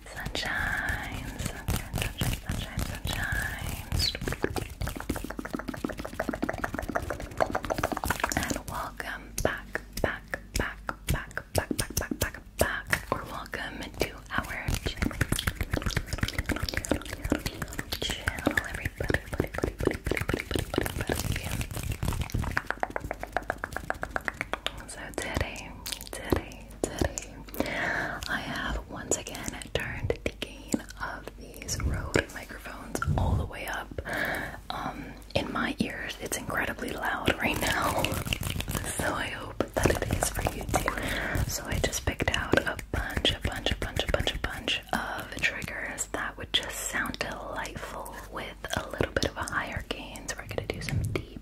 sunshine, sunshine, sunshine, sunshine, sunshine, And welcome back, back, back, back, back, back, back, back, back, or welcome to our channel, channel everybody, buddy, buddy, buddy, buddy, So today, today today, I have once again turned the gain of these Rode microphones all the way up. Um, in my ears, it's incredibly loud right now, so I hope that it is for you too. So I just picked out a bunch, a bunch, a bunch, a bunch, a bunch of triggers that would just sound delightful with a little bit of a higher gain. we're gonna do some deep,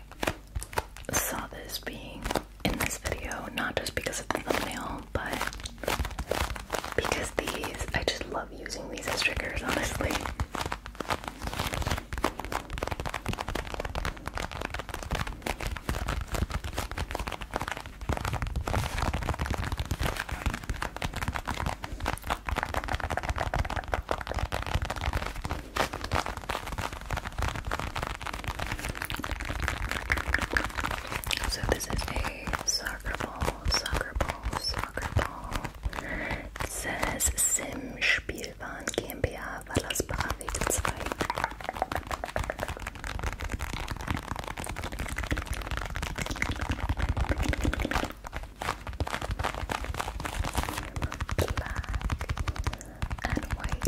I saw this being in this video, not just because of the thumbnail, but because these, I just love using these as triggers, honestly. So this is a soccer ball, soccer ball, soccer ball. says Sim Spielwaren GmbH Wallersbachweg 2 and white,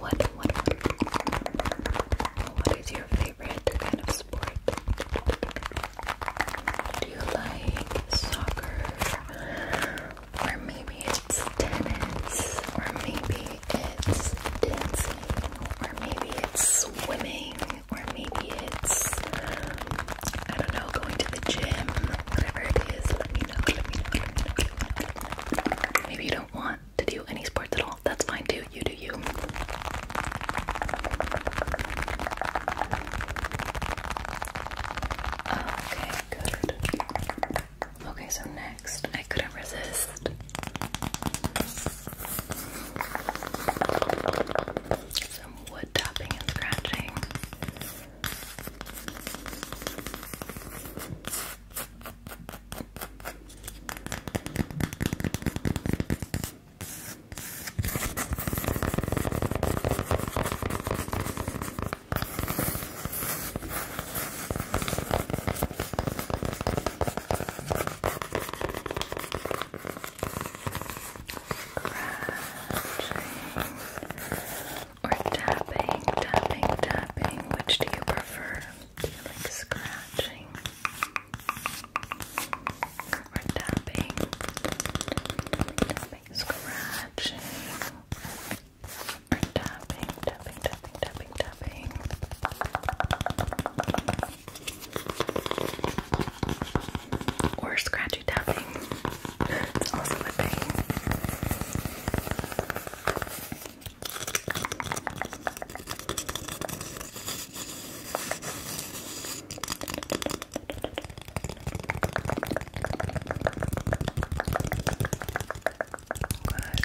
what? What is your favorite kind of sport? Do you like soccer? Or maybe it's tennis, or maybe it's dancing, or maybe it's swimming, or maybe it's, I don't know, going to the gym, whatever it is, let me know. Maybe you don't want to do any sports at all, that's fine too, you do you. Okay, good. Okay, so next, I couldn't resist some wood tapping and scratching. Scratching or tapping, tapping, tapping. Which do you prefer? Do you like scratching or tapping? scratching or tapping, tapping, tapping, tapping, tapping. Or scratchy tapping. It's also a thing.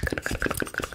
Good, good, good, good, good, good,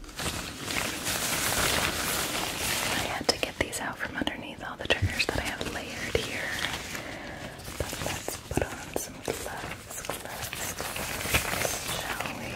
I had to get these out from underneath all the triggers that I have layered here. But let's put on some gloves, gloves, gloves, shall we?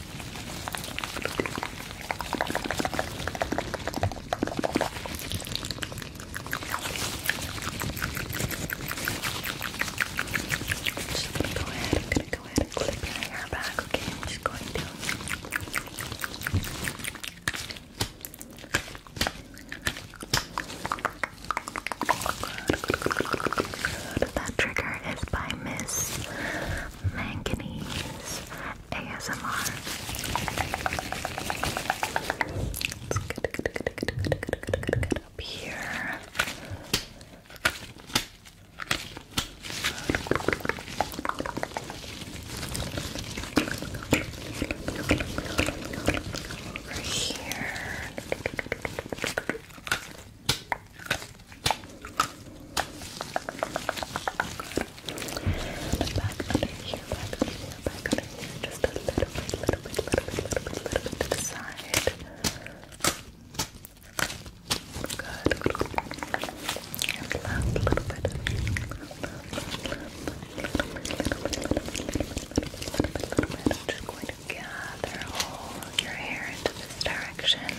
just gonna go ahead, gonna go ahead and clip your hair back, okay? I'm just going to That trigger is by Miss manganese ASMR. Let's get, up here. Over here. Good. Back under here, back under here, back under here. Just a little bit, little bit, little bit, little bit, little bit side. Good. And left, a little bit. I'm just going to gather all of your hair into this direction.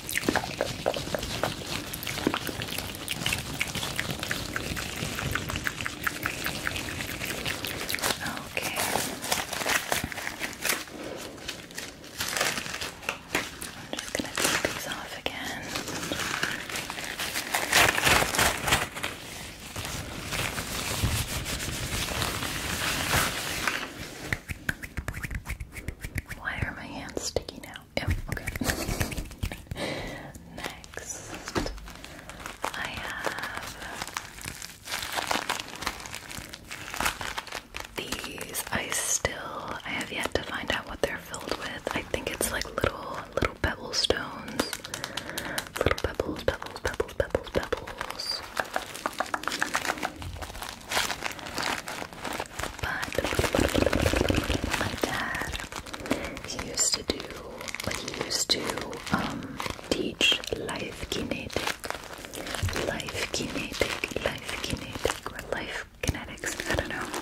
Okay. I'm just going to take these off again. Okay. Why are my hands sticky now? okay. Next, I have these. I still I have yet to find out what they're filled with. I think it's like little little pebble stones, little pebbles, pebbles, pebbles, pebbles, pebbles. But my dad, used to do, like he used to um, teach life kinetic, life kinetic, life kinetic, life kinetics. I don't know.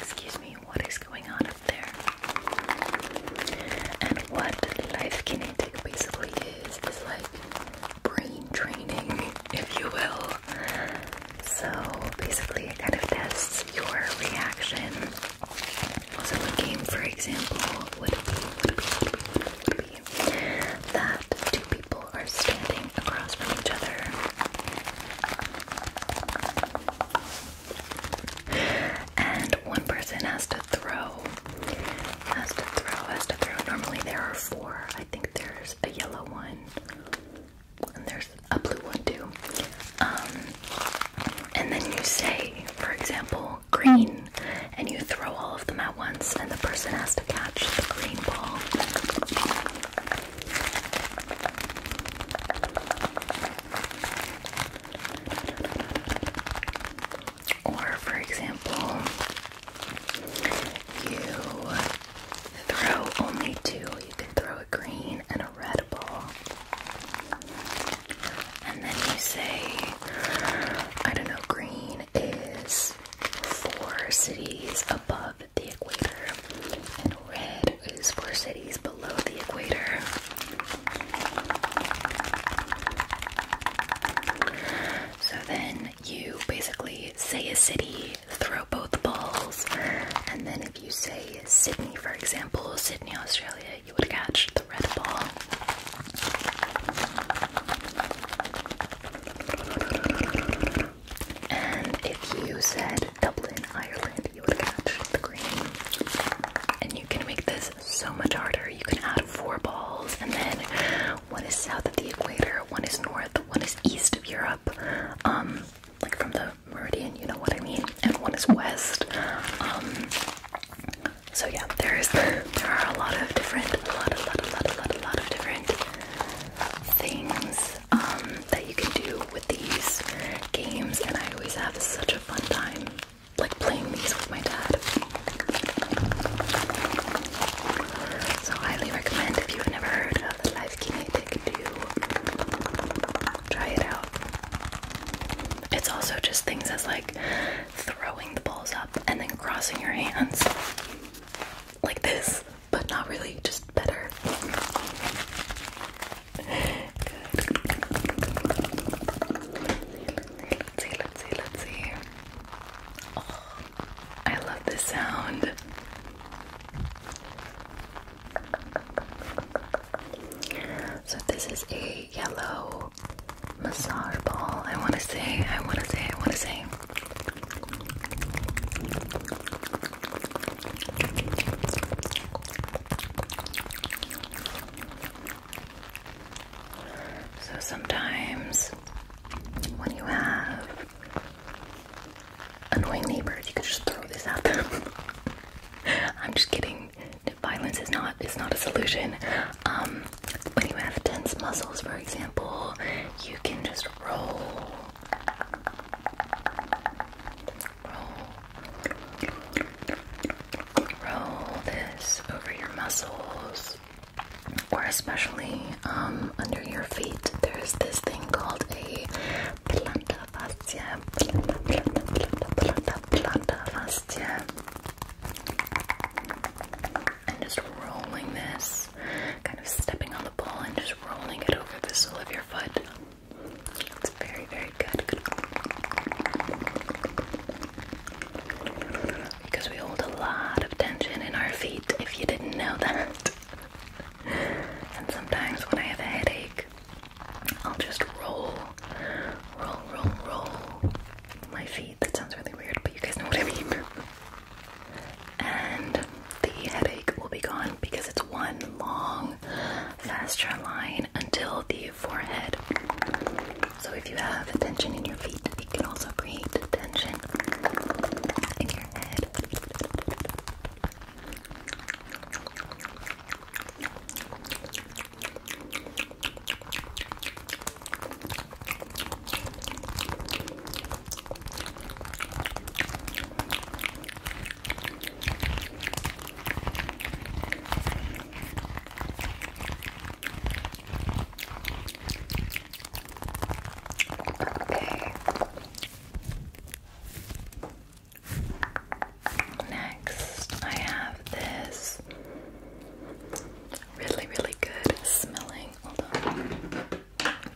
Excuse me, what is going on up there? And what life kinetic basically is is like brain training, if you will. So basically, it kind of tests your reaction. So a game, for example, would be, would be that two people are standing across from each other. And one person has to throw has to throw, has to throw. Normally there are four. I think there's a yellow one, and there's a blue one too. Um, and then you say, for example, green, and you throw all of them at once, and the person has to catch the green ball. Or, for example, you throw only two. You can throw a green and a red ball. And then you say, I don't know, green is four cities above the equator, and red is four cities below the equator. So then you basically say a city, throw both balls, and then if you say Sydney, for example, Sydney, Australia, you would catch the red ball. And if you said Dublin, Ireland, you would catch the green. And you can make this so much harder. You can add four balls, and then one is south of the equator, one is north, one is east of Europe, um, like from the meridian, you know what I mean, and one is west. Um, so yeah, there is there are a lot of different, a lot, a lot, a lot, a lot, a lot of different things um, that you can do with these games, and I always have such a fun time like playing these with my dad. So highly recommend if you've never heard of Life Kinetic to try it out. It's also just things as like throwing the balls up and then crossing your hands like this, but not really, just better. Let's see, let's see, let's see. Oh, I love this sound. So this is a yellow massage ball. I want to say, I want to say, I want to say. So sometimes when you have annoying neighbors, you can just throw this at them. I'm just kidding. Violence is not is not a solution. Um, when you have tense muscles, for example, you can just roll, roll, roll this over your muscles or especially um, under your feet, there's this thing called a planta fascia. planta fascia. And just rolling this, kind of stepping on the ball and just rolling it over the sole of your foot. It's very, very good. Because we hold a lot of tension in our feet, if you didn't know that. and sometimes when I have a headache, I'll just roll, roll, roll, roll my feet. That sounds really weird, but you guys know what I mean. and the headache will be gone because it's one long fascia line until the forehead. So if you have tension in your feet, it can also create tension in your head. Next, I have this really, really good smelling.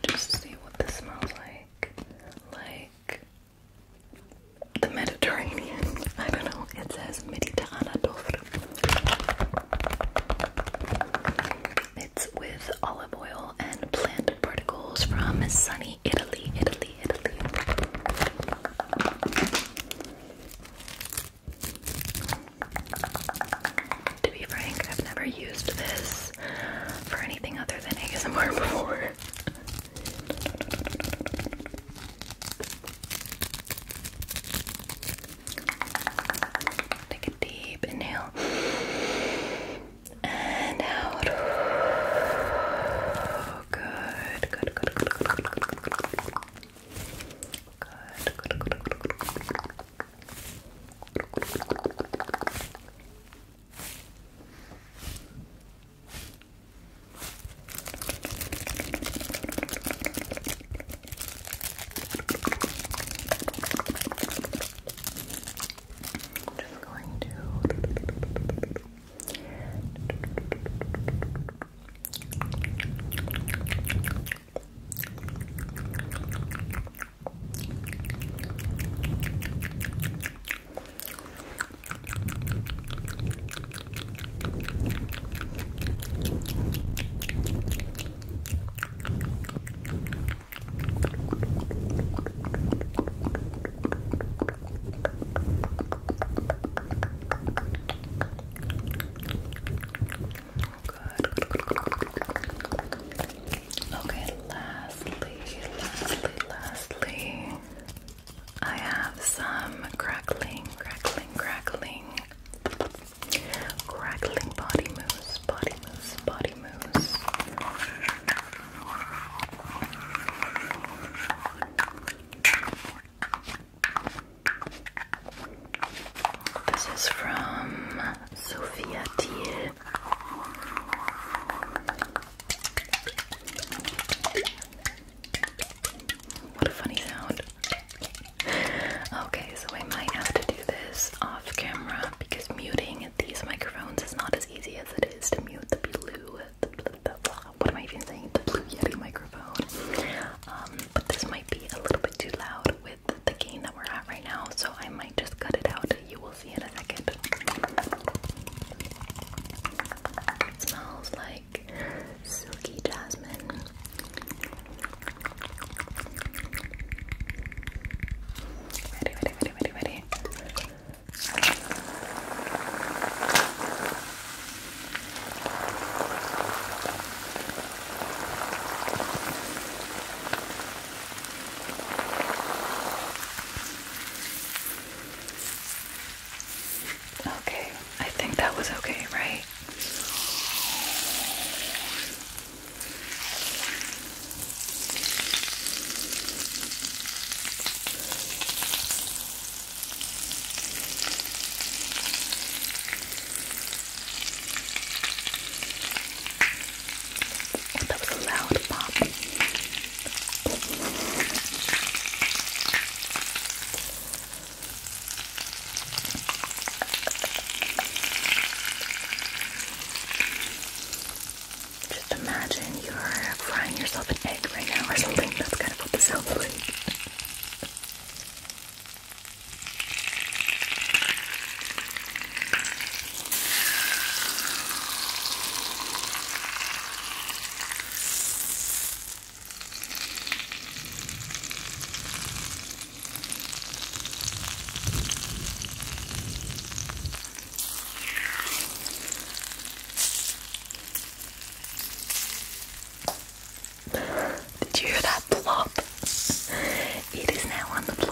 Just see what this smells like. Like the Mediterranean. I don't know. It says Mediterranean. It's with olive oil and plant particles from sunny Italy, Italy, Italy. To be frank, I've never used this for anything other than ASMR before. Take a deep inhale and out. Good, good, good, good, good, good, good, good, good, Good, just going to Okay. Good. Okay, lastly, lastly, lastly, I have some crackling, crackling, crackling Crackling body mousse, body mousse, body mousse. This is from Sofia Thiel. What a funny sound okay, so I might have to do this off camera because muting these microphones is not as easy as it is to mute the blue. what am I even saying? The blue Yeti microphone. Um, but this might be a little bit too loud with the gain that we're at right now, so I might just cut it out. You will see in a second. smells like silky jasmine. Okay, I think that was okay, right? Oh, that was a loud pop. Just imagine you're frying yourself an egg right now or something. That's kind of what this sounds did you hear that plop? It is now on the floor.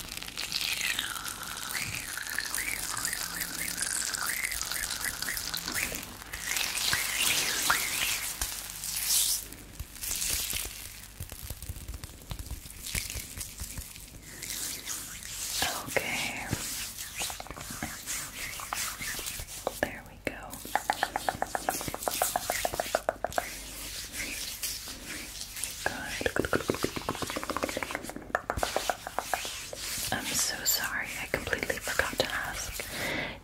Okay. There we go. Good. I'm so sorry, I completely forgot to ask.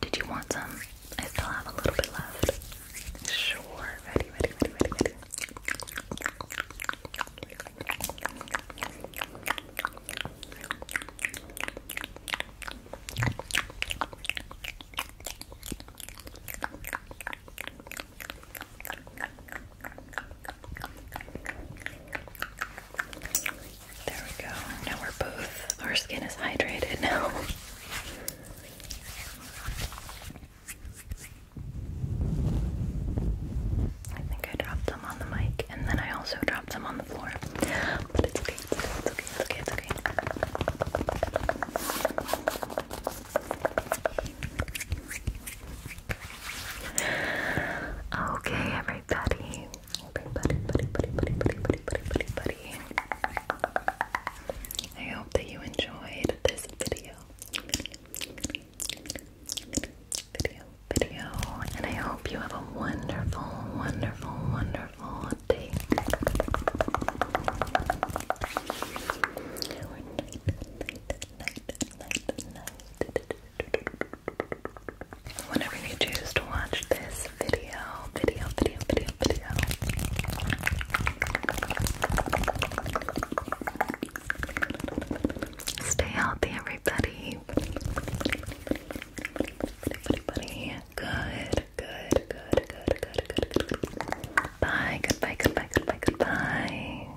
Did you want some? I still have a little bit left. Sure, ready, ready, ready, ready, ready. There we go. Now we're both, our skin is hydrated now. I think I dropped them on the mic and then I also dropped them on the floor. But it's okay, it's okay, it's okay, it's okay. Okay, everybody. Everybody, buddy, buddy, buddy, buddy, I hope that you enjoyed this video. Video, video. And I hope you have a wonderful, wonderful, wonderful day. Night, night, night, night, night. Whenever you choose to watch this video, video, video, video, video, stay healthy, everybody. Everybody, good, good, good, good, good, good, good. Bye, goodbye, goodbye, goodbye, goodbye.